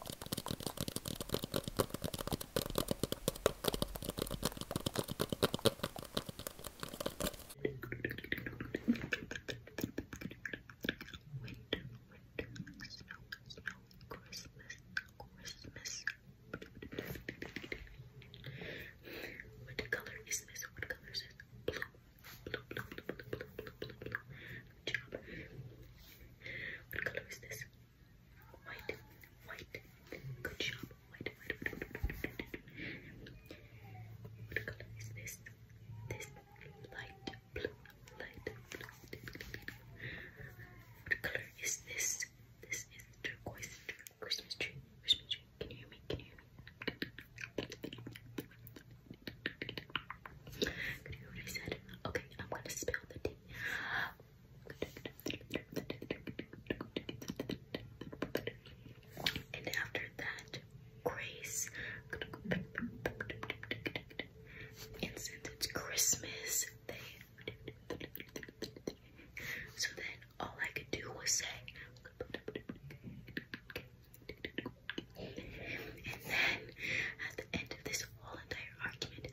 Christmas. What color is this? What color is this? Blue, blue, blue, blue, blue, blue, blue, blue. Good job. What color is this? White, white. Good job. White, white, white, white, white. What color is this? This light blue, light blue. What color is this? This is turquoise Christmas tree. Christmas tree. Can you hear me? Can you hear me? Can you hear what I said? Okay, I'm gonna spell the D. And after that, Grace. And since it's Christmas, So then all I could do was say. And then at the end of this whole entire argument,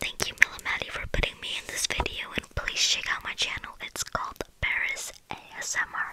Thank you, Millamati, for putting me in this video, and please check out my channel. It's called Paris ASMR.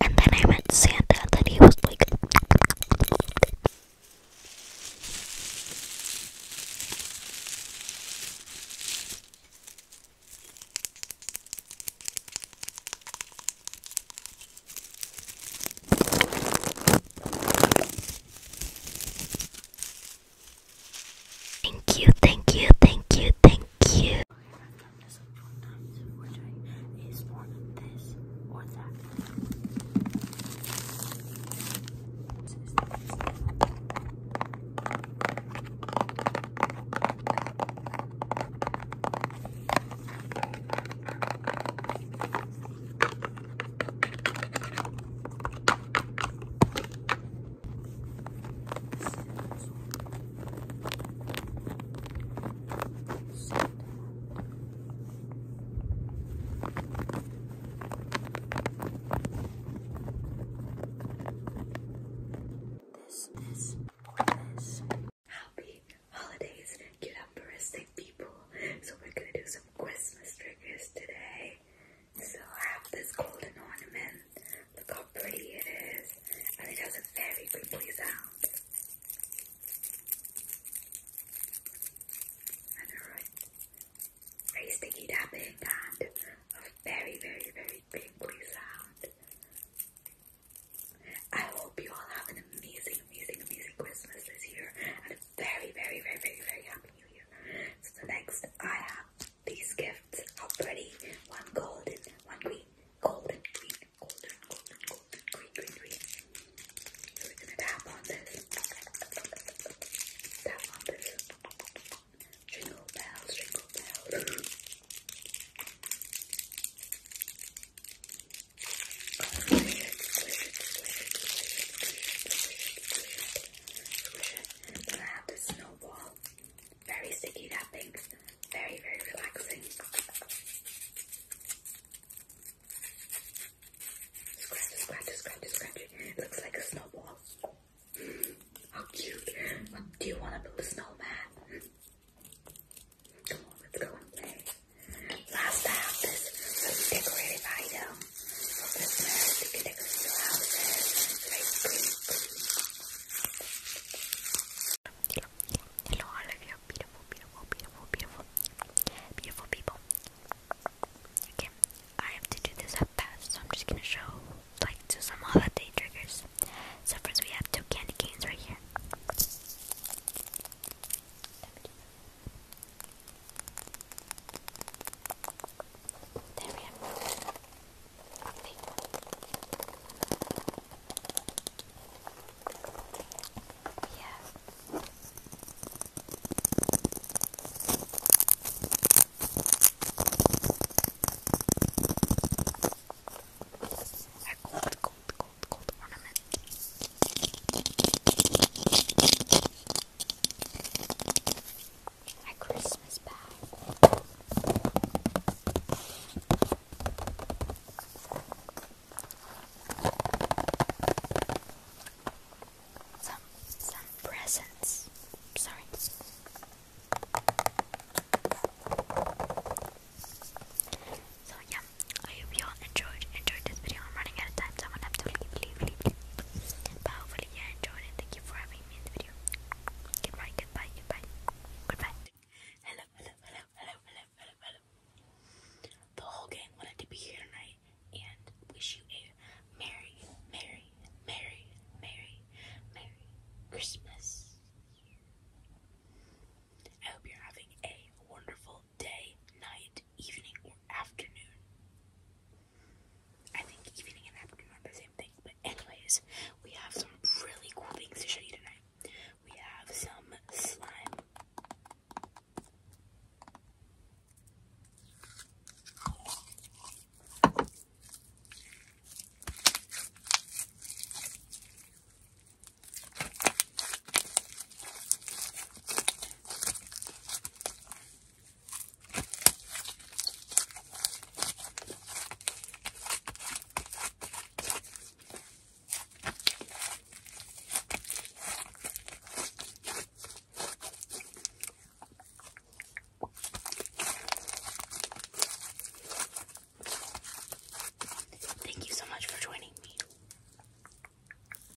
And then I met Santa, and he was like. Thank you, thank you, thank you, thank you from this and from for this or that. This is Polish. Happy holidays, cute optimistic people. So we're gonna do some Christmas tricks today. So I have this golden ornament. Look how pretty it is. And it has a very creepy sound. I Very sticky tapping and a very, very, very crinkly sound. I hope you all have an amazing, amazing, amazing Christmas this year and a very, very, very, very, very happy new year. So, next, I have these gifts. How pretty! One golden, one green, golden, green, golden, golden, golden, green, green, green. So we're gonna tap on this. Tap on this. Jingle bells, jingle bells. We're gonna have this snowball. Very sticky wrapping. Very, very relaxing. Scratch, scratch, scratch, scratch. It looks like a snowball. How cute. Do you want to build a snowman? Come on, let's go and play. Last I have um, this decorative item for Christmas. You can decorate your houses. It's hello, hello, all of you beautiful, beautiful, beautiful, beautiful, beautiful people. Okay, I have to do this up fast, so I'm just gonna show, like, do some holiday triggers. So first we have two candy canes right here. There we have. Yeah. A gold, gold, gold, gold ornament. A Christmas bag. Some some presents. Sorry. So yeah, I hope you all enjoyed enjoyed this video. I'm running out of time, so I'm gonna have to leave, leave, leave, leave. But hopefully you enjoyed it. Thank you for having me in the video. Goodbye, goodbye, goodbye, goodbye. Hello, hello, hello, hello, hello, hello, hello. The whole gang wanted to be here tonight and wish you a merry, merry, merry, merry, merry Christmas. I hope you're having a wonderful day, night, evening, or afternoon. I think evening and afternoon are the same thing, but anyways, we have some really cool things to show you tonight. We have some slime. Thank you so much for joining me.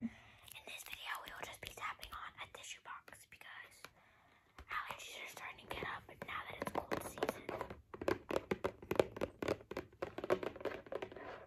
In this video, we will just be tapping on a tissue box because allergies are starting to get up now that it's cold season.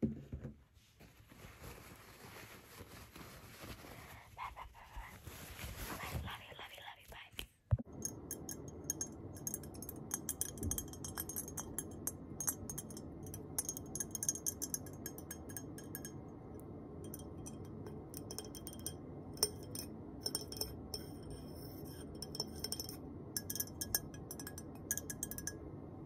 Bye, bye, bye, bye. Okay, love you, love you, love you, bye. Bye.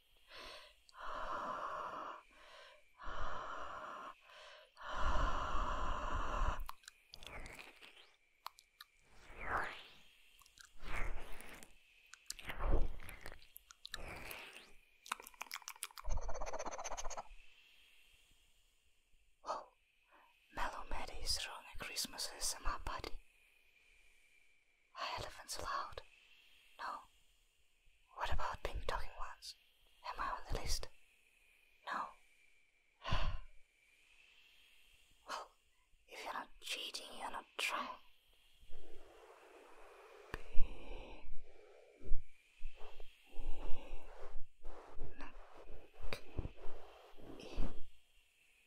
Whoa, [GASPS] Mellow Maddie is throwing a Christmas in my party. Are elephants allowed? No. What about pink talking ones? Am I on the list? No. [SIGHS] well, if you're not cheating, you're not trying.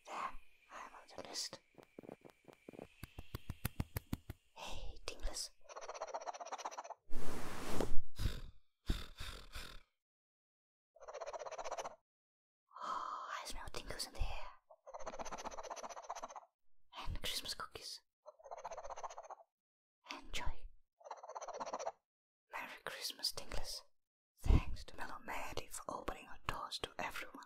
There, I'm on the list. Hey, Dinglers. Oh, I smell tingles in the air. And Christmas cookies. And joy. Merry Christmas, Dinglers. Thanks to Mellow Maddie for opening her doors to everyone.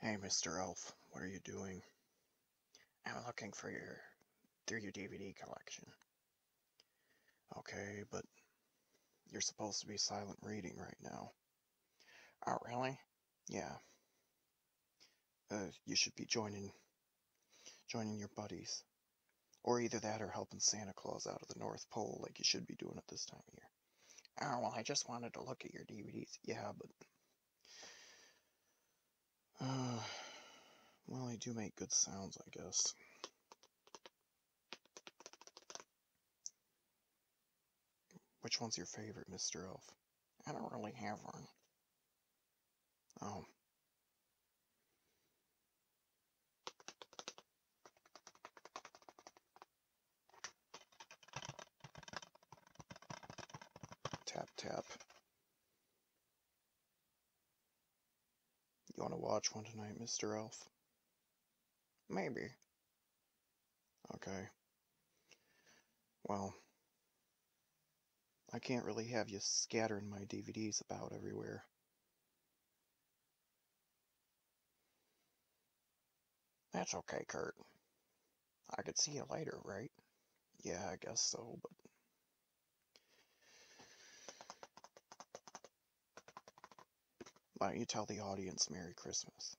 Hey, Mr. Elf, what are you doing? I'm looking for your through your DVD collection. Okay, but you're supposed to be silent reading right now. Oh, really? Yeah. Uh, you should be joining joining your buddies. Or either that or helping Santa Claus out of the North Pole like you should be doing at this time of year. Oh, well, I just wanted to look at your DVDs. Yeah, but. Uh, well, they do make good sounds, I guess. Which one's your favorite, Mr. Elf? I don't really have one. Oh. Tap, tap. You want to watch one tonight, Mr. Elf? Maybe. Okay. Well, I can't really have you scattering my DVDs about everywhere. That's okay, Kurt. I could see it later, right? Yeah, I guess so, but. Why don't you tell the audience Merry Christmas?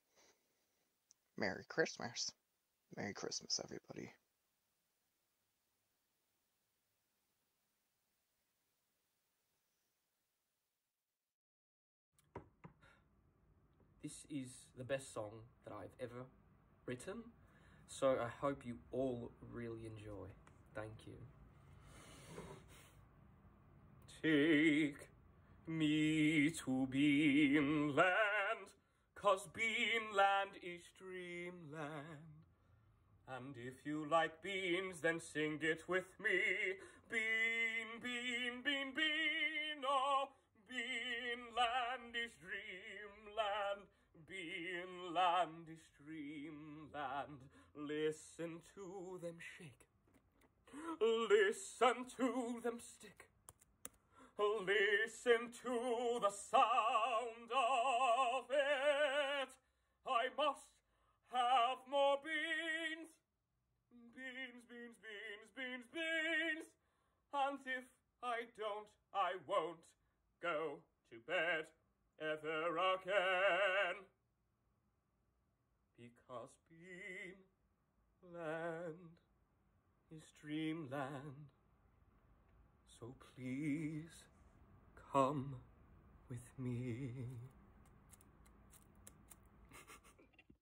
Merry Christmas. Merry Christmas, everybody. This is the best song that I've ever written, so I hope you all really enjoy. Thank you. Take me to Beanland, cause Beanland is dreamland. And if you like beans, then sing it with me. Bean, bean, bean, bean, oh. Beanland is dreamland, Beanland is dreamland. Listen to them shake, listen to them stick, listen to the sound of it. I must have more beans. Beans, beans, beans, beans, beans. And if I don't, I won't go to bed ever again. Because Beanland is dreamland. So please come with me. [LAUGHS]